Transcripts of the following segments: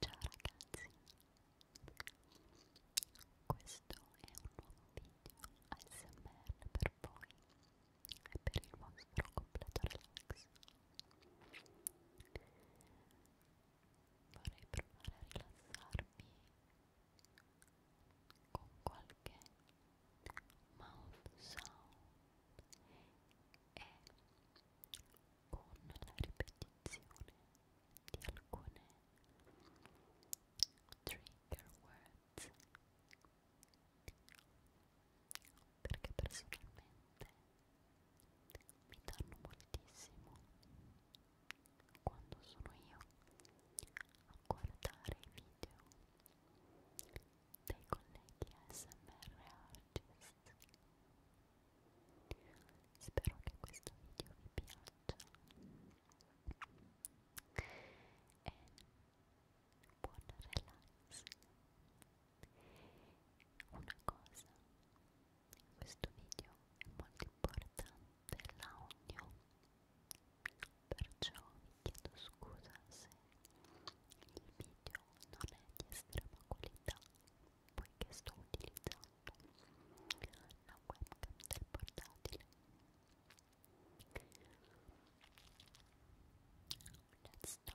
Ciao ragazzi, questo è un nuovo video ASMR per voi e per il vostro completo relax. Vorrei provare a rilassarvi con qualche mouth sound e con la ripetizione di alcune trigger words perché personalmente mi danno moltissimo quando sono io a guardare i video dei colleghi ASMR artist spero che questo video vi piaccia e buon relax una cosa questo video è molto importante l'audio perciò vi chiedo scusa se il video però non è di estrema qualità poiché sto utilizzando la webcam del portatile let's start Let's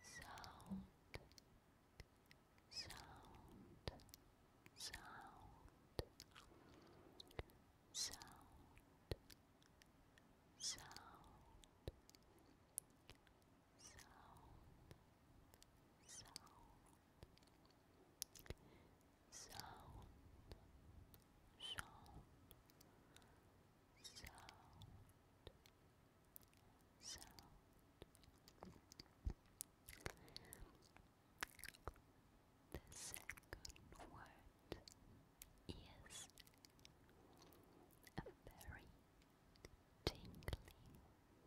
sound, sound, sound, sound, sound, sound, sound. Sound, sound, sound, sound, sound. The second word is a very tingly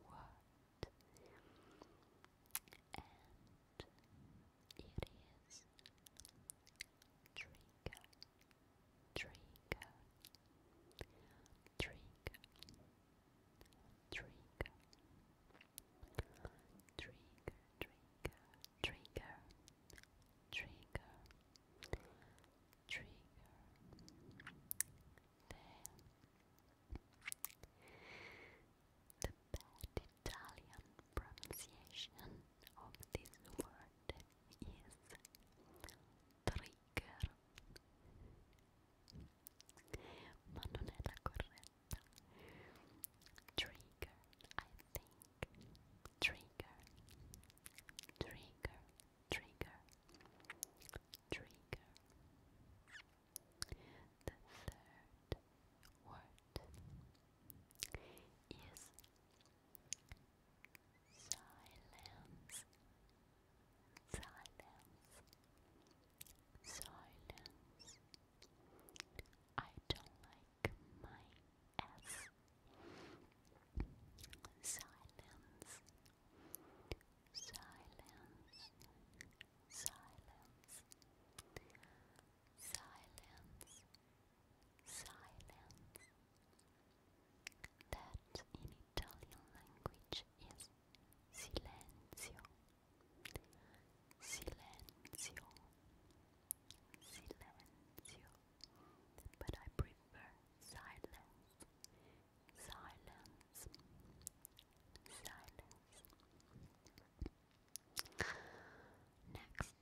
word, and it is trigger trigger, trigger, trigger, trigger, trigger, trigger, trigger, trigger. the bad Italian pronunciation of this word is trigger ma non è la trigger I think trigger trigger trigger trigger the third word is Silence. Silence. Silence. I don't like my S. Silence. Silence. Silence. Silence. Silence that in Italian language is silenzio, silenzio, silenzio, but I prefer silence, silence, silence. Next,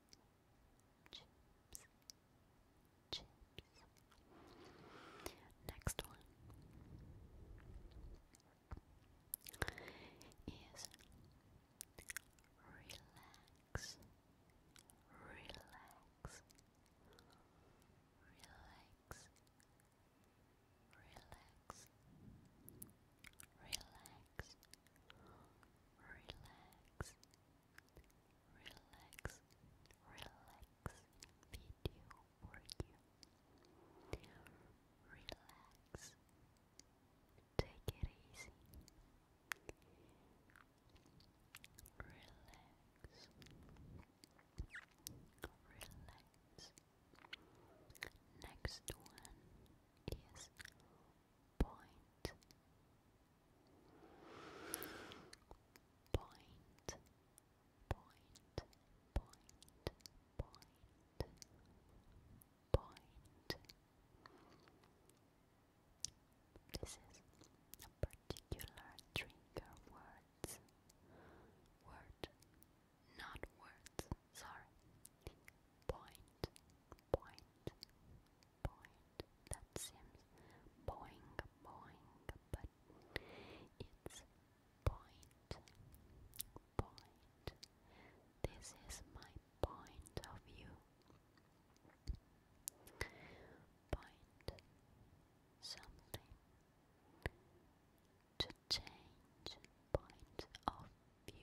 chips, chips. Next one is relax, relax, relax. Relax, relax, relax, relax, relax video for you. Relax, take it easy. Relax, relax. Next one is point Point, point, point, point, point. This is a particular trigger words. Word, not words, sorry point, point, point. That seems boing, but it's point, point. This is my point of view. Point something to change point of view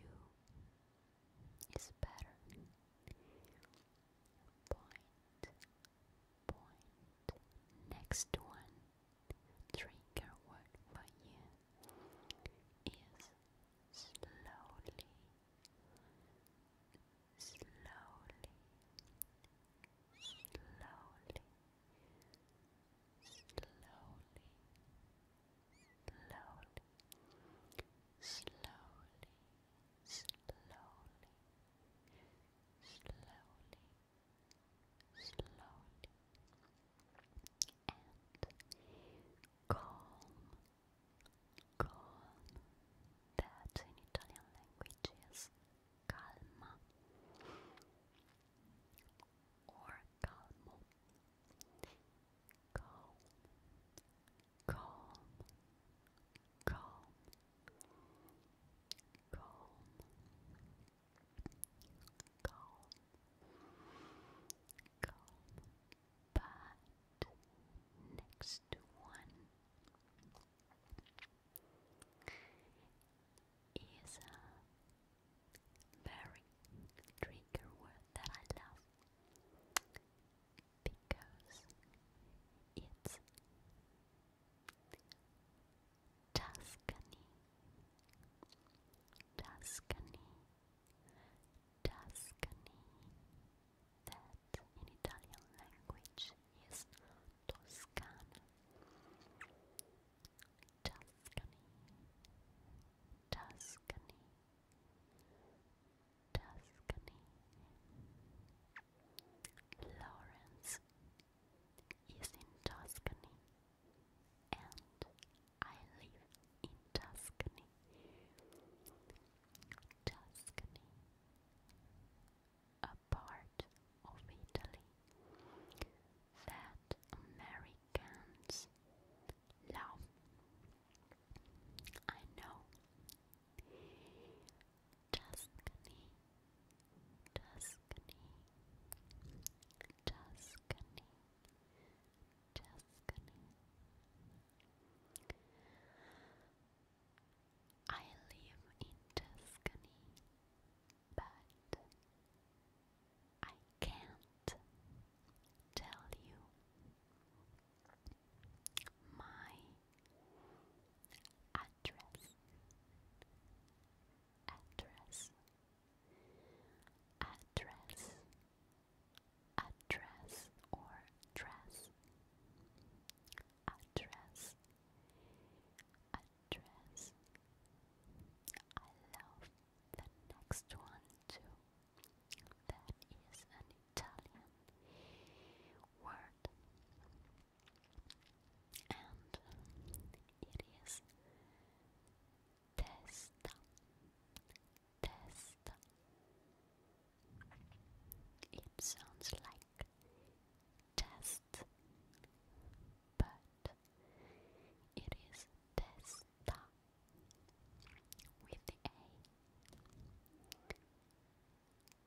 is better. Point, point. Next one, trigger word for you is slowly, slowly, slowly, slowly slowly, slowly, slowly, slowly, slowly, and calm, calm. That in Italian language is calma or calmo. Calm, calm, calm, calm, calm, calm. But next to one is a very trigger word that I love because it's Tuscany, Tuscany, Tuscany. That in Italian language is Toscana. Tuscany, Tuscany, Tuscany, Lawrence is in Tuscany, and I live in Tuscany, Tuscany, a part of Italy that Americans love. I know. Tuscany, Tuscany, Tuscany, Tuscany. I live in Tuscany, but I can't tell you my address address address address or dress address address I love the next one too. That is an Italian word, and it is testa. Testa. It sounds like test, but it is testa with A.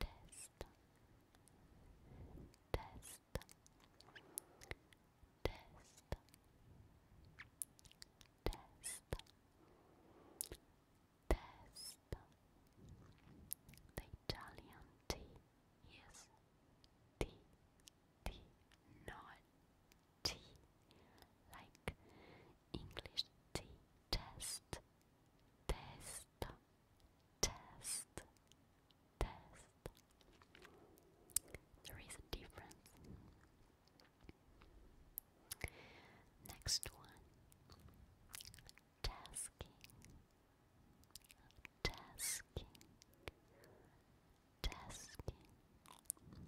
Test. Test. Test. Test. Test. The Italian T is T T, not like English T, test, test, test, test. There is a difference. Next one, tasking, tasking, tasking, tasking,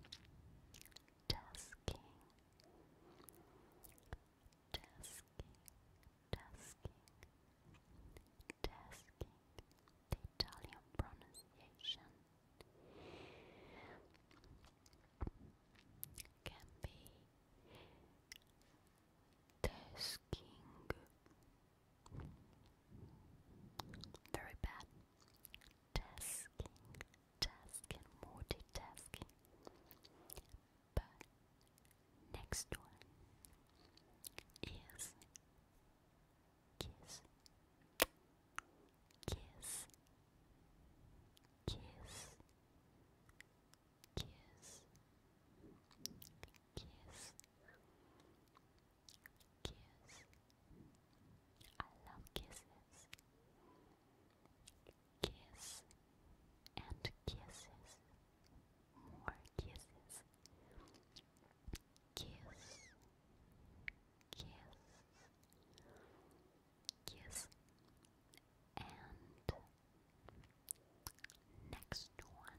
tasking, tasking, tasking, the Italian pronunciation can be tasking. Very bad. Tasking, tasking, multitasking. But next one is kiss, kiss, kiss, kiss, Kiss. Kiss. I love kisses. Kiss and kisses. More kisses. Kiss. Kiss. Kiss. And next one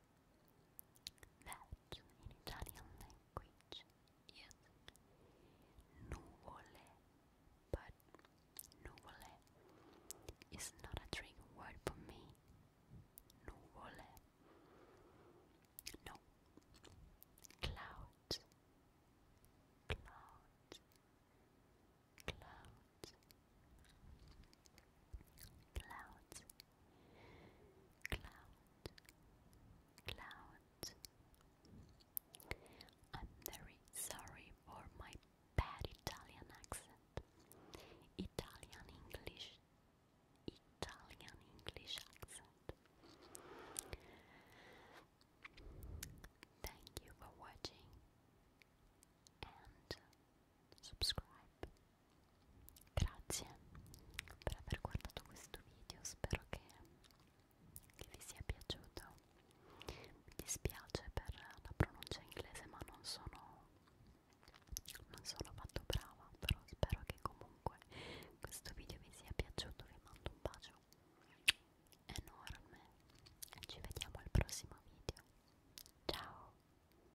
That in Italian language is nuvole, but nuvole is not a trick word for me. Nuvole. No. Cloud. Cloud. Cloud. Clouds Cloud, cloud. I'm very sorry for my bad Italian accent. Italian English, Italian English accent. Thank you for watching and subscribe. Grazie per aver guardato questo video, spero che, che vi sia piaciuto. Mi dispiace per la pronuncia inglese, ma non sono, non sono fatto brava, però spero che comunque questo video vi sia piaciuto, vi mando un bacio enorme e ci vediamo al prossimo video. Ciao!